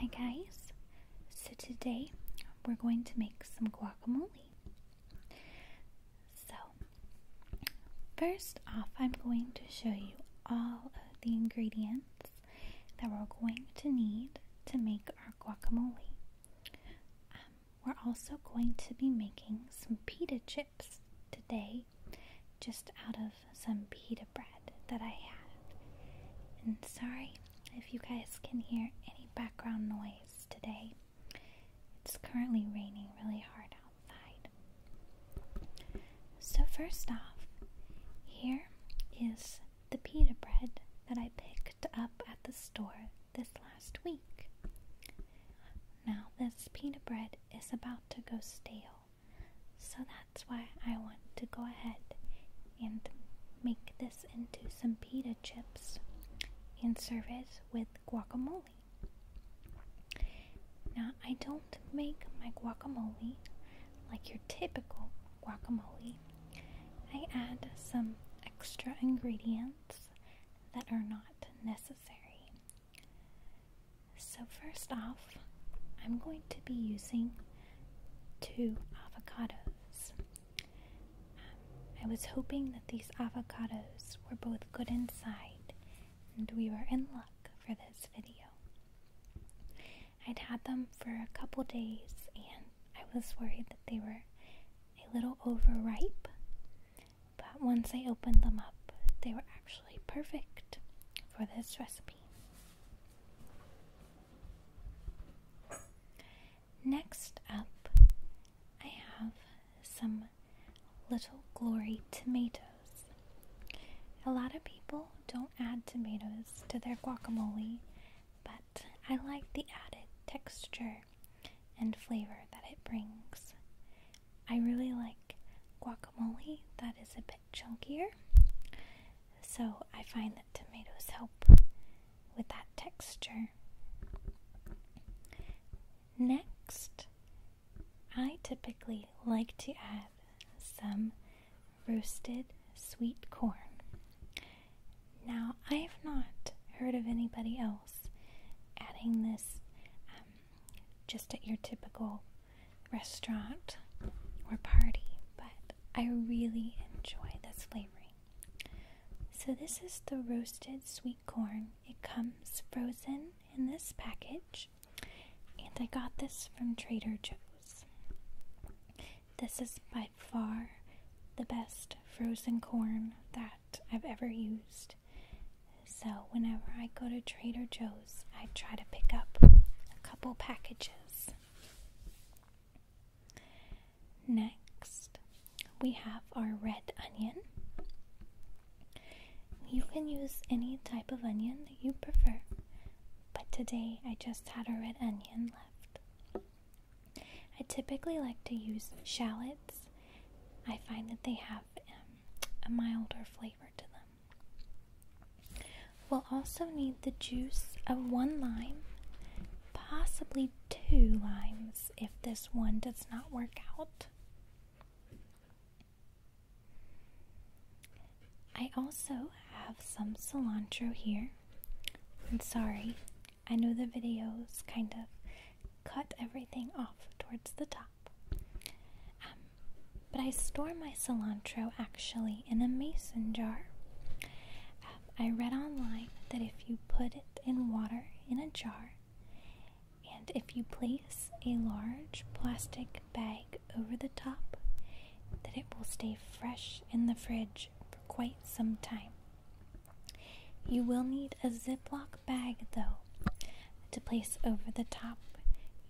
Hi guys! So today we're going to make some guacamole. So first off I'm going to show you all of the ingredients that we're going to need to make our guacamole. Um, we're also going to be making some pita chips today just out of some pita bread that I had. And sorry if you guys can hear any background noise today. It's currently raining really hard outside. So, first off, here is the pita bread that I picked up at the store this last week. Now, this pita bread is about to go stale. So that's why I want to go ahead and make this into some pita chips and serve it with guacamole. Now, I don't make my guacamole like your typical guacamole. I add some extra ingredients that are not necessary. So, first off, I'm going to be using two avocados. Um, I was hoping that these avocados were both good inside, and we were in luck for this video. I'd had them for a couple days, and I was worried that they were a little overripe, but once I opened them up, they were actually perfect for this recipe. Next up, I have some little glory tomatoes. A lot of people don't add tomatoes to their guacamole, but I like the added texture and flavor that it brings. I really like guacamole that is a bit chunkier, so I find that tomatoes help with that texture. Next, I typically like to add some roasted sweet corn. Now, I have not heard of anybody else adding this um, just at your typical restaurant or party, but I really enjoy this flavoring. So, this is the roasted sweet corn. It comes frozen in this package, and I got this from Trader Joe's. This is by far the best frozen corn that I've ever used. So, whenever I go to Trader Joe's, I try to pick up a couple packages. Next, we have our red onion. You can use any type of onion that you prefer, but today I just had a red onion left. I typically like to use shallots, I find that they have um, a milder flavor to them. We'll also need the juice of one lime, possibly two limes if this one does not work out. I also have some cilantro here. I'm sorry, I know the videos kind of cut everything off towards the top. Um, but I store my cilantro actually in a mason jar. Um, I read online that if you put it in water in a jar, and if you place a large plastic bag over the top, that it will stay fresh in the fridge for quite some time. You will need a Ziploc bag though to place over the top.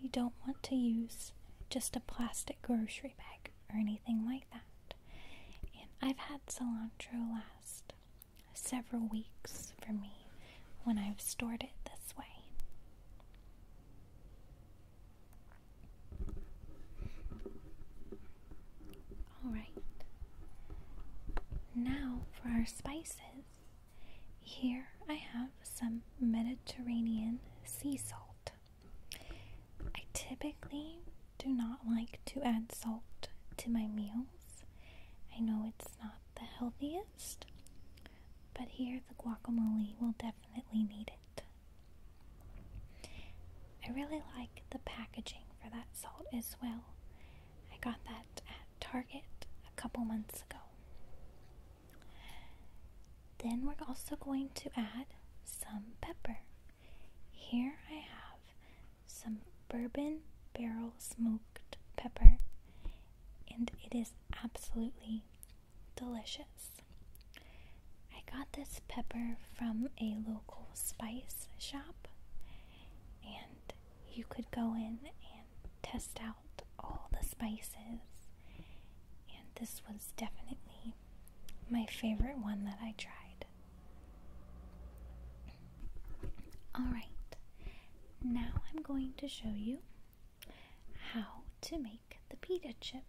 You don't want to use just a plastic grocery bag or anything like that. And I've had cilantro last several weeks for me when I've stored it this way. Alright, now for our spices. Here I have some Mediterranean sea salt. I typically do not like to add salt to my meals. I know it's not the healthiest, but here the guacamole will definitely need it. I really like the packaging for that salt as well. I got that at Target a couple months ago. Then we're also going to add some pepper. Here I have some bourbon barrel smoked pepper, and it is absolutely delicious. I got this pepper from a local spice shop, and you could go in and test out all the spices, and this was definitely my favorite one that I tried. Alright, now I'm going to show you how to make the pita chips.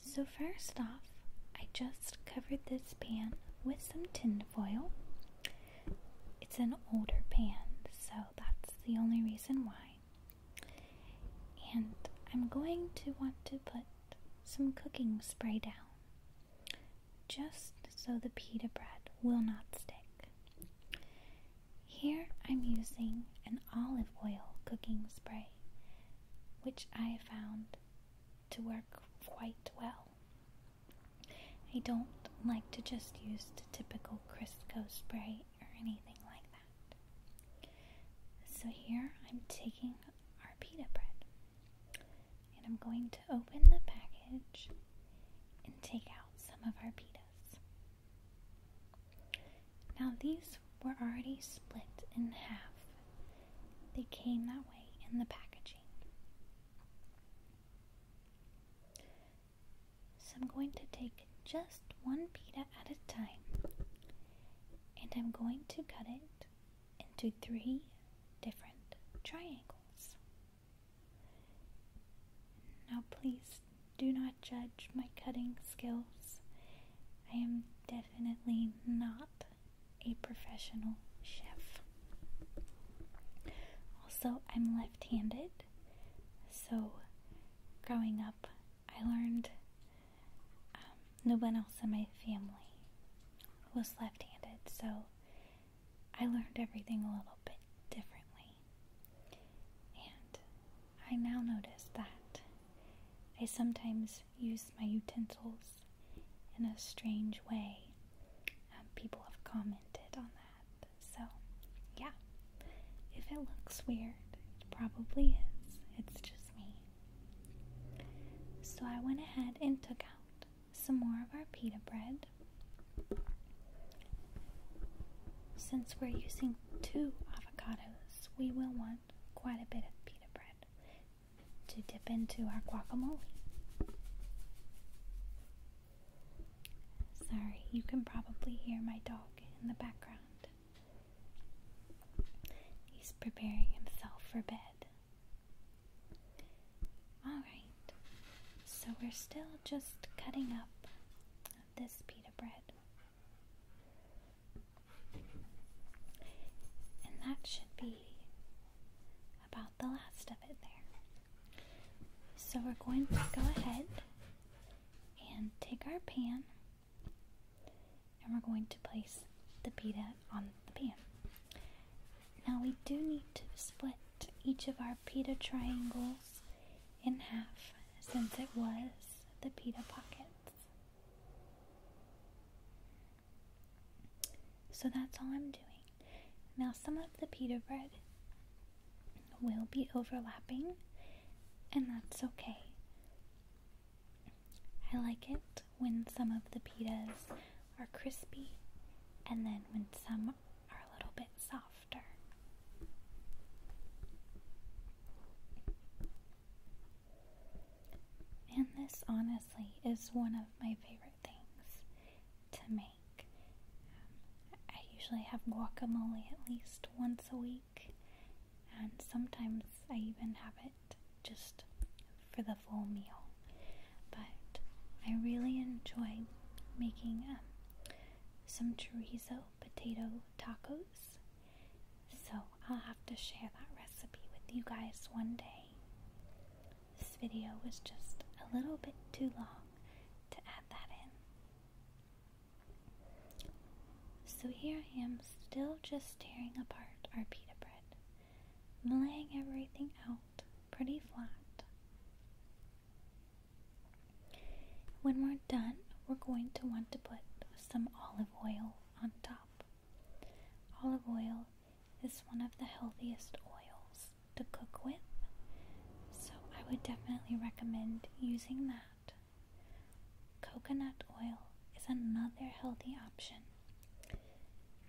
So, first off, I just covered this pan with some tin foil it's an older pan, so that's the only reason why. And I'm going to want to put some cooking spray down just so the pita bread will not stick. Here I'm using an olive oil cooking spray, which I found to work quite well. I don't like to just use the typical Crisco spray or anything like that. So here I'm taking our pita bread and I'm going to open the package and take out some of our pitas. Now these were already split in half. They came that way in the packaging. So I'm going to take just one pita at a time and I'm going to cut it into three different triangles. Now, please do not judge my cutting skills. I am definitely not a professional chef. Also, I'm left handed, so, growing up, I learned um, no one else in my family was left handed, so I learned everything a little bit differently. And I now notice that I sometimes use my utensils in a strange way. Um, people have commented on that. So, yeah. If it looks weird, it probably is. It's just me. So, I went ahead and took out some more of our pita bread. Since we're using two avocados, we will want quite a bit of pita bread to dip into our guacamole. Sorry, you can probably hear my dog in the background. He's preparing himself for bed. Alright, so we're still just cutting up this pita bread. And that should be the last of it there. So we're going to go ahead and take our pan and we're going to place the pita on the pan. Now we do need to split each of our pita triangles in half since it was the pita pockets. So that's all I'm doing. Now some of the pita bread will be overlapping and that's okay. I like it when some of the pitas are crispy and then when some are a little bit softer. And this honestly is one of my favorite things to make. Um, I usually have guacamole at least once a week, and sometimes I even have it just for the full meal. But I really enjoy making um, some chorizo potato tacos, so I'll have to share that recipe with you guys one day. This video was just a little bit too long to add that in. So here I am still just tearing apart our pita bread. laying everything out pretty flat. When we're done, we're going to want to put some olive oil on top. Olive oil is one of the healthiest oils to cook with. So I would definitely recommend using that. Coconut oil is another healthy option.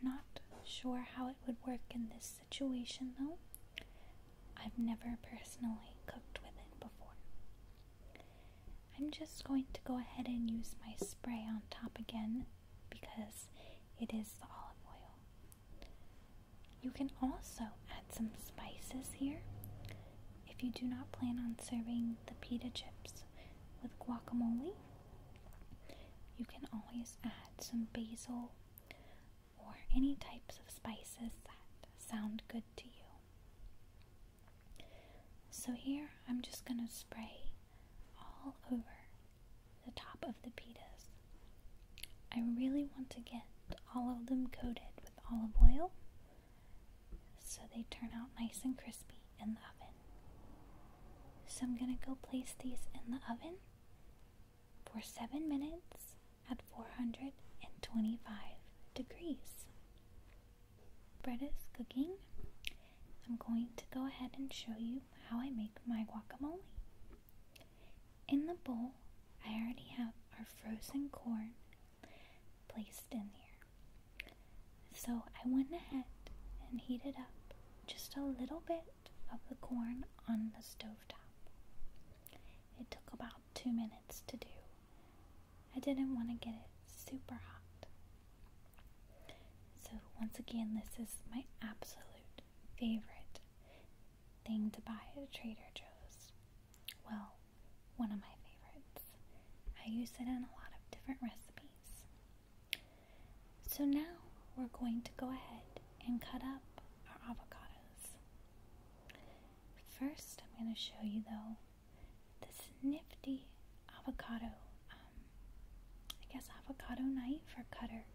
Not sure how it would work in this situation though. I've never personally cooked with it before. I'm just going to go ahead and use my spray on top again because it is the olive oil. You can also add some spices here if you do not plan on serving the pita chips with guacamole. You can always add some basil or any types of spices that sound good to you. So, here I'm just going to spray all over the top of the pitas. I really want to get all of them coated with olive oil so they turn out nice and crispy in the oven. So I'm going to go place these in the oven for 7 minutes at 425 degrees. Bread is cooking. I'm going to go ahead and show you how I make my guacamole. In the bowl, I already have our frozen corn placed in there. So I went ahead and heated up just a little bit of the corn on the stove top. It took about two minutes to do. I didn't want to get it super hot. So, once again, this is my absolute favorite thing to buy at Trader Joe's. Well, one of my favorites. I use it in a lot of different recipes. So now we're going to go ahead and cut up our avocados. First, I'm going to show you though this nifty avocado um, I guess, avocado knife or cutter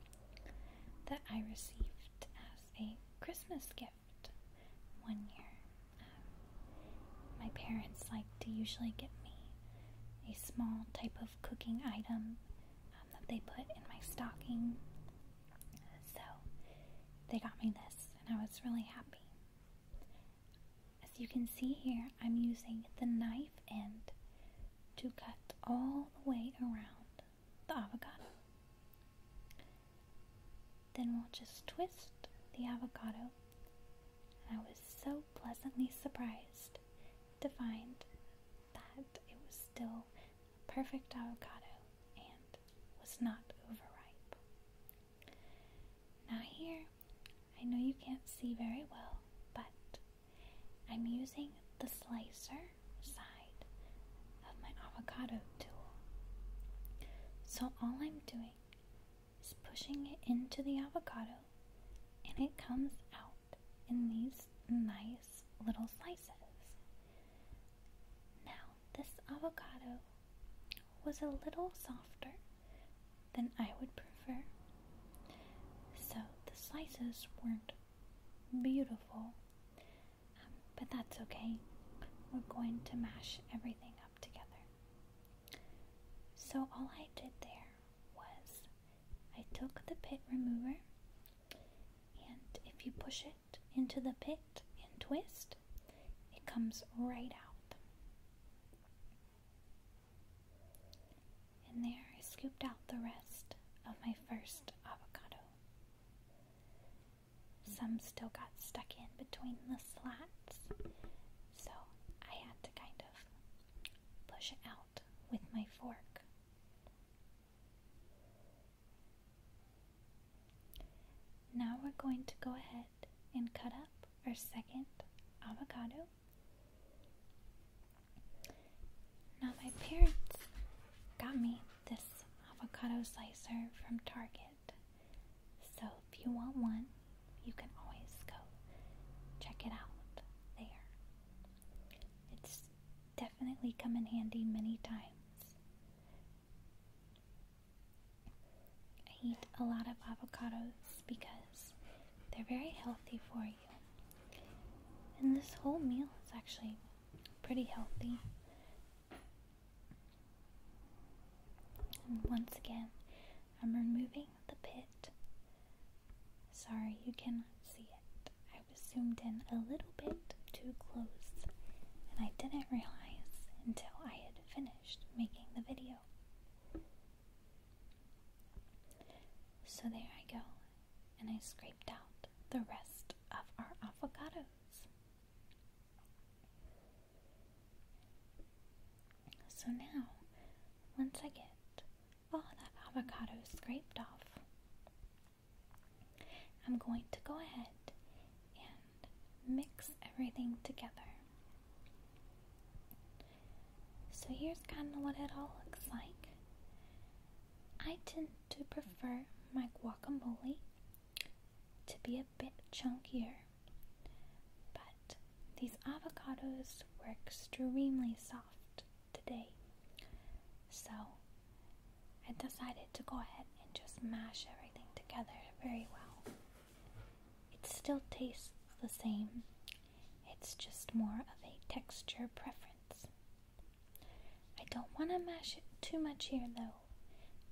that I received as a Christmas gift one year. Um, my parents like to usually get me a small type of cooking item um, that they put in my stocking. So they got me this, and I was really happy. As you can see here, I'm using the knife end to cut all the way around the avocado. Then we'll just twist the avocado. And I was so pleasantly surprised to find that it was still a perfect avocado and was not overripe. Now, here I know you can't see very well, but I'm using the slicer side of my avocado tool. So all I'm doing is pushing it into the avocado and it comes out in these nice little slices. Now, this avocado was a little softer then I would prefer. So the slices weren't beautiful, um, but that's okay. We're going to mash everything up together. So all I did there was I took the pit remover, and if you push it into the pit and twist, it comes right out. And there I scooped out the rest of my first avocado. Some still got stuck in between the slats, so I had to kind of push it out with my fork. Now we're going to go ahead and cut up our second avocado. Now, my parents got me this avocado slicer from Target. So, if you want one, you can always go check it out there. It's definitely come in handy many times. I eat a lot of avocados because they're very healthy for you. And this whole meal is actually pretty healthy. And once again, I'm removing the pit. Sorry, you cannot see it. I was zoomed in a little bit too close, and I didn't realize until I had finished making the video. So there I go, and I scraped out the rest of our avocados. So now, once I get all that avocado scraped off, I'm going to go ahead and mix everything together. So here's kind of what it all looks like. I tend to prefer my guacamole to be a bit chunkier, but these avocados were extremely soft today, so I decided to go ahead and just mash everything together very well. It still tastes the same, it's just more of a texture preference. I don't want to mash it too much here though,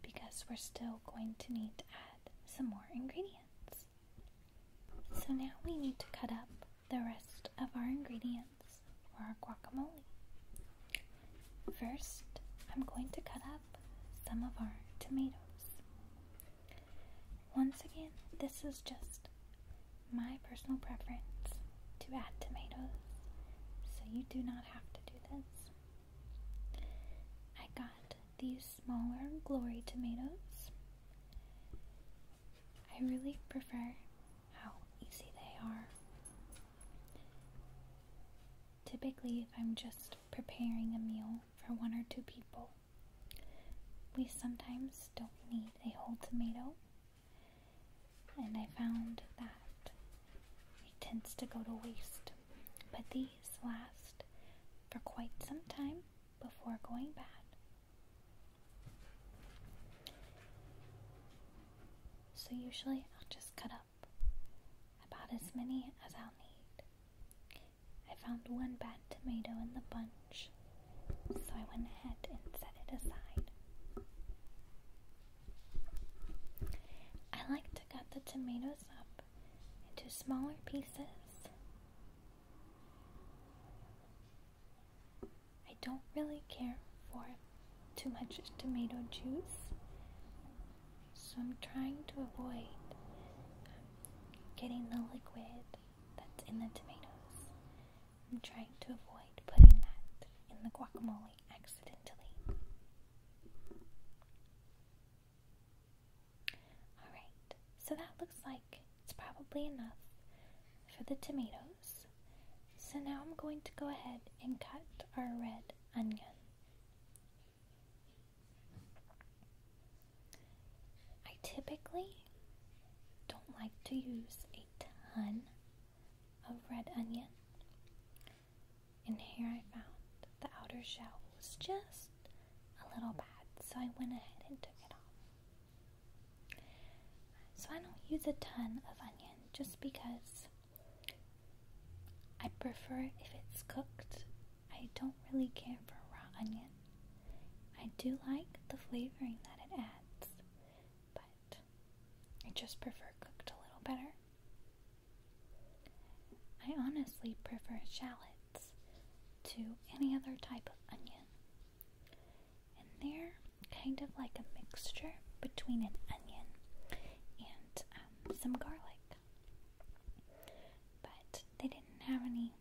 because we're still going to need to add some more ingredients. So now we need to cut up the rest of our ingredients for our guacamole. First, I'm going to cut up some of our tomatoes. Once again, this is just my personal preference to add tomatoes, so you do not have to do this. I got these smaller glory tomatoes. I really prefer how easy they are. Typically, if I'm just preparing a meal for one or two people, we sometimes don't need a whole tomato, and I found that it tends to go to waste. But these last for quite some time before going bad. So usually I'll just cut up about as many as I'll need. I found one bad tomato in the bunch, so I went ahead and set it aside. I like to cut the tomatoes up into smaller pieces. I don't really care for too much tomato juice, so I'm trying to avoid getting the liquid that's in the tomatoes. I'm trying to avoid putting that in the guacamole accidentally. Alright, so that looks like it's probably enough for the tomatoes. So now I'm going to go ahead and cut our red onion. I typically don't like to use a ton of red onion, and here I found the outer shell was just a little bad, so I went ahead and took it off. So I don't use a ton of onion just because I prefer if it's cooked I don't really care for raw onion. I do like the flavoring that it adds, but I just prefer cooked a little better. I honestly prefer shallots to any other type of onion. And they're kind of like a mixture between an onion and um, some garlic. But they didn't have any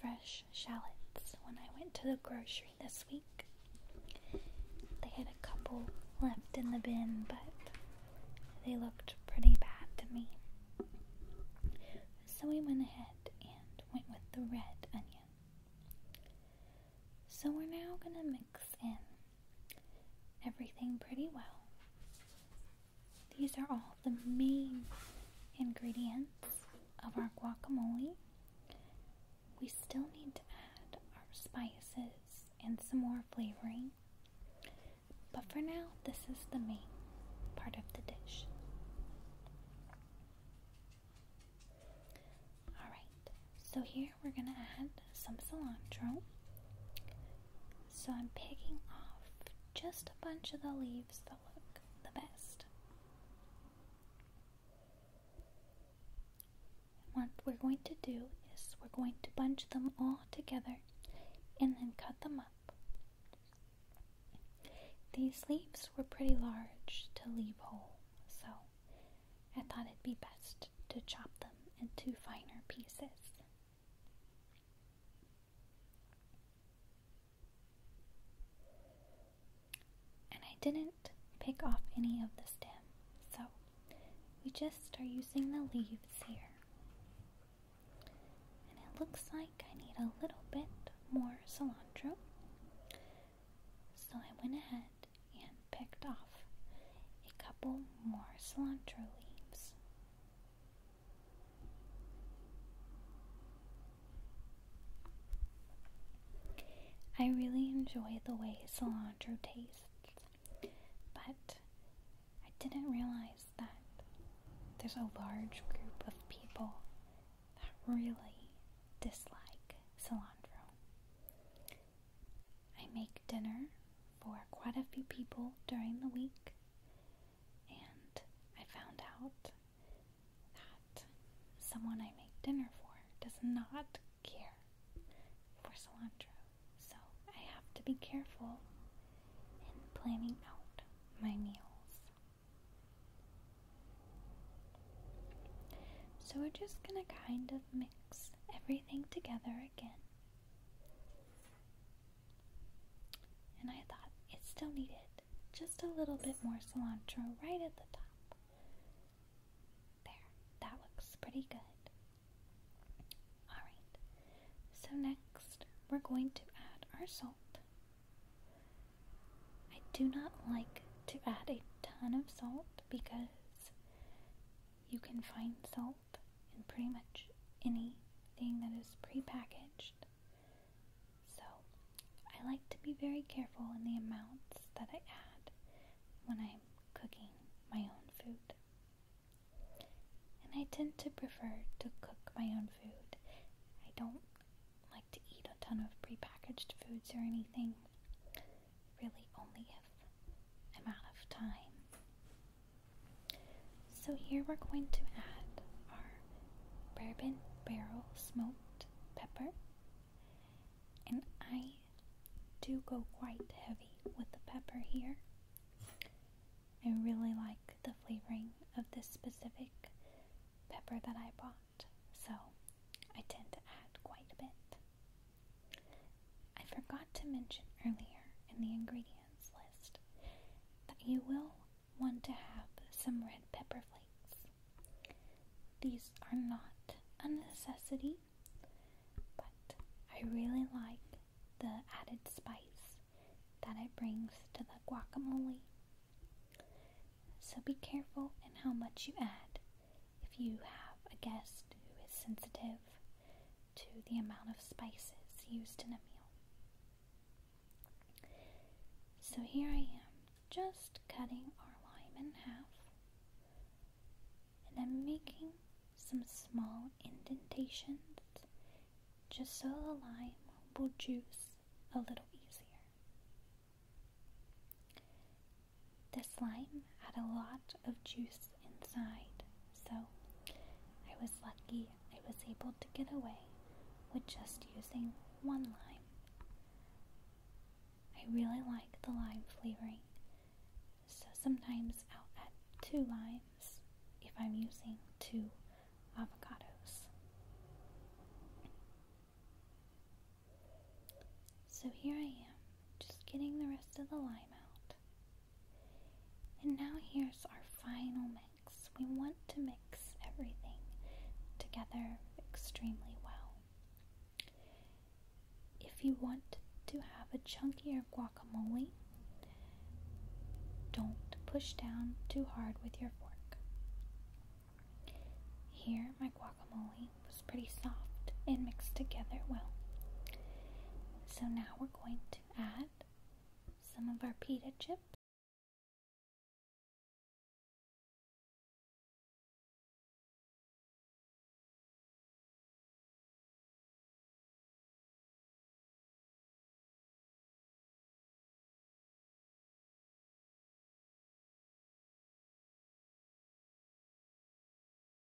fresh shallots when I went to the grocery this week. They had a couple left in the bin, but they looked pretty bad to me. So we went ahead and went with the red onion. So we're now going to mix in everything pretty well these are all the main ingredients of our guacamole. We still need to add our spices and some more flavoring, but for now, this is the main part of the dish. Alright, so here we're going to add some cilantro so I'm picking off just a bunch of the leaves that look the best. What we're going to do is we're going to bunch them all together and then cut them up. These leaves were pretty large to leave whole, so I thought it'd be best to chop them into finer pieces. And I didn't pick off any of the stem, so we just are using the leaves here. And it looks like I need a little bit more cilantro. So I went ahead and picked off a couple more cilantro leaves. I really enjoy the way cilantro tastes, but I didn't realize that there's a large group of people that really dislike cilantro. I make dinner for quite a few people during the week, and I found out that someone I make dinner for does not care for cilantro. So I have to be careful in planning out my meals. So we're just going to kind of mix everything together again. And I thought it still needed just a little bit more cilantro right at the top. There, that looks pretty good. Alright, so next we're going to add our salt. I do not like to add a ton of salt because you can find salt help pretty much anything that is prepackaged. So I like to be very careful in the amounts that I add when I'm cooking my own food. And I tend to prefer to cook my own food. I don't like to eat a ton of prepackaged foods or anything, really, only if I'm out of time. So here we're going to add our bourbon barrel smoked pepper. And I do go quite heavy with the pepper here. I really like the flavoring of this specific pepper that I bought, so I tend to add quite a bit. I forgot to mention earlier in the ingredients list that you will want to have some red pepper flakes. These are not a necessity, but I really like the added spice that it brings to the guacamole. So be careful in how much you add if you have a guest who is sensitive to the amount of spices used in a meal. So here I am, just cutting our lime in half, and I'm making some small indentations just so the lime will juice a little easier. This lime had a lot of juice inside, so I was lucky I was able to get away with just using one lime. I really like the lime flavoring, so sometimes I'll add two limes if I'm using two avocados. So here I am, just getting the rest of the lime out. And now here's our final mix. We want to mix everything together extremely well. If you want to have a chunkier guacamole, don't push down too hard with your fork. Here, my guacamole was pretty soft and mixed together well. So now we're going to add some of our pita chips.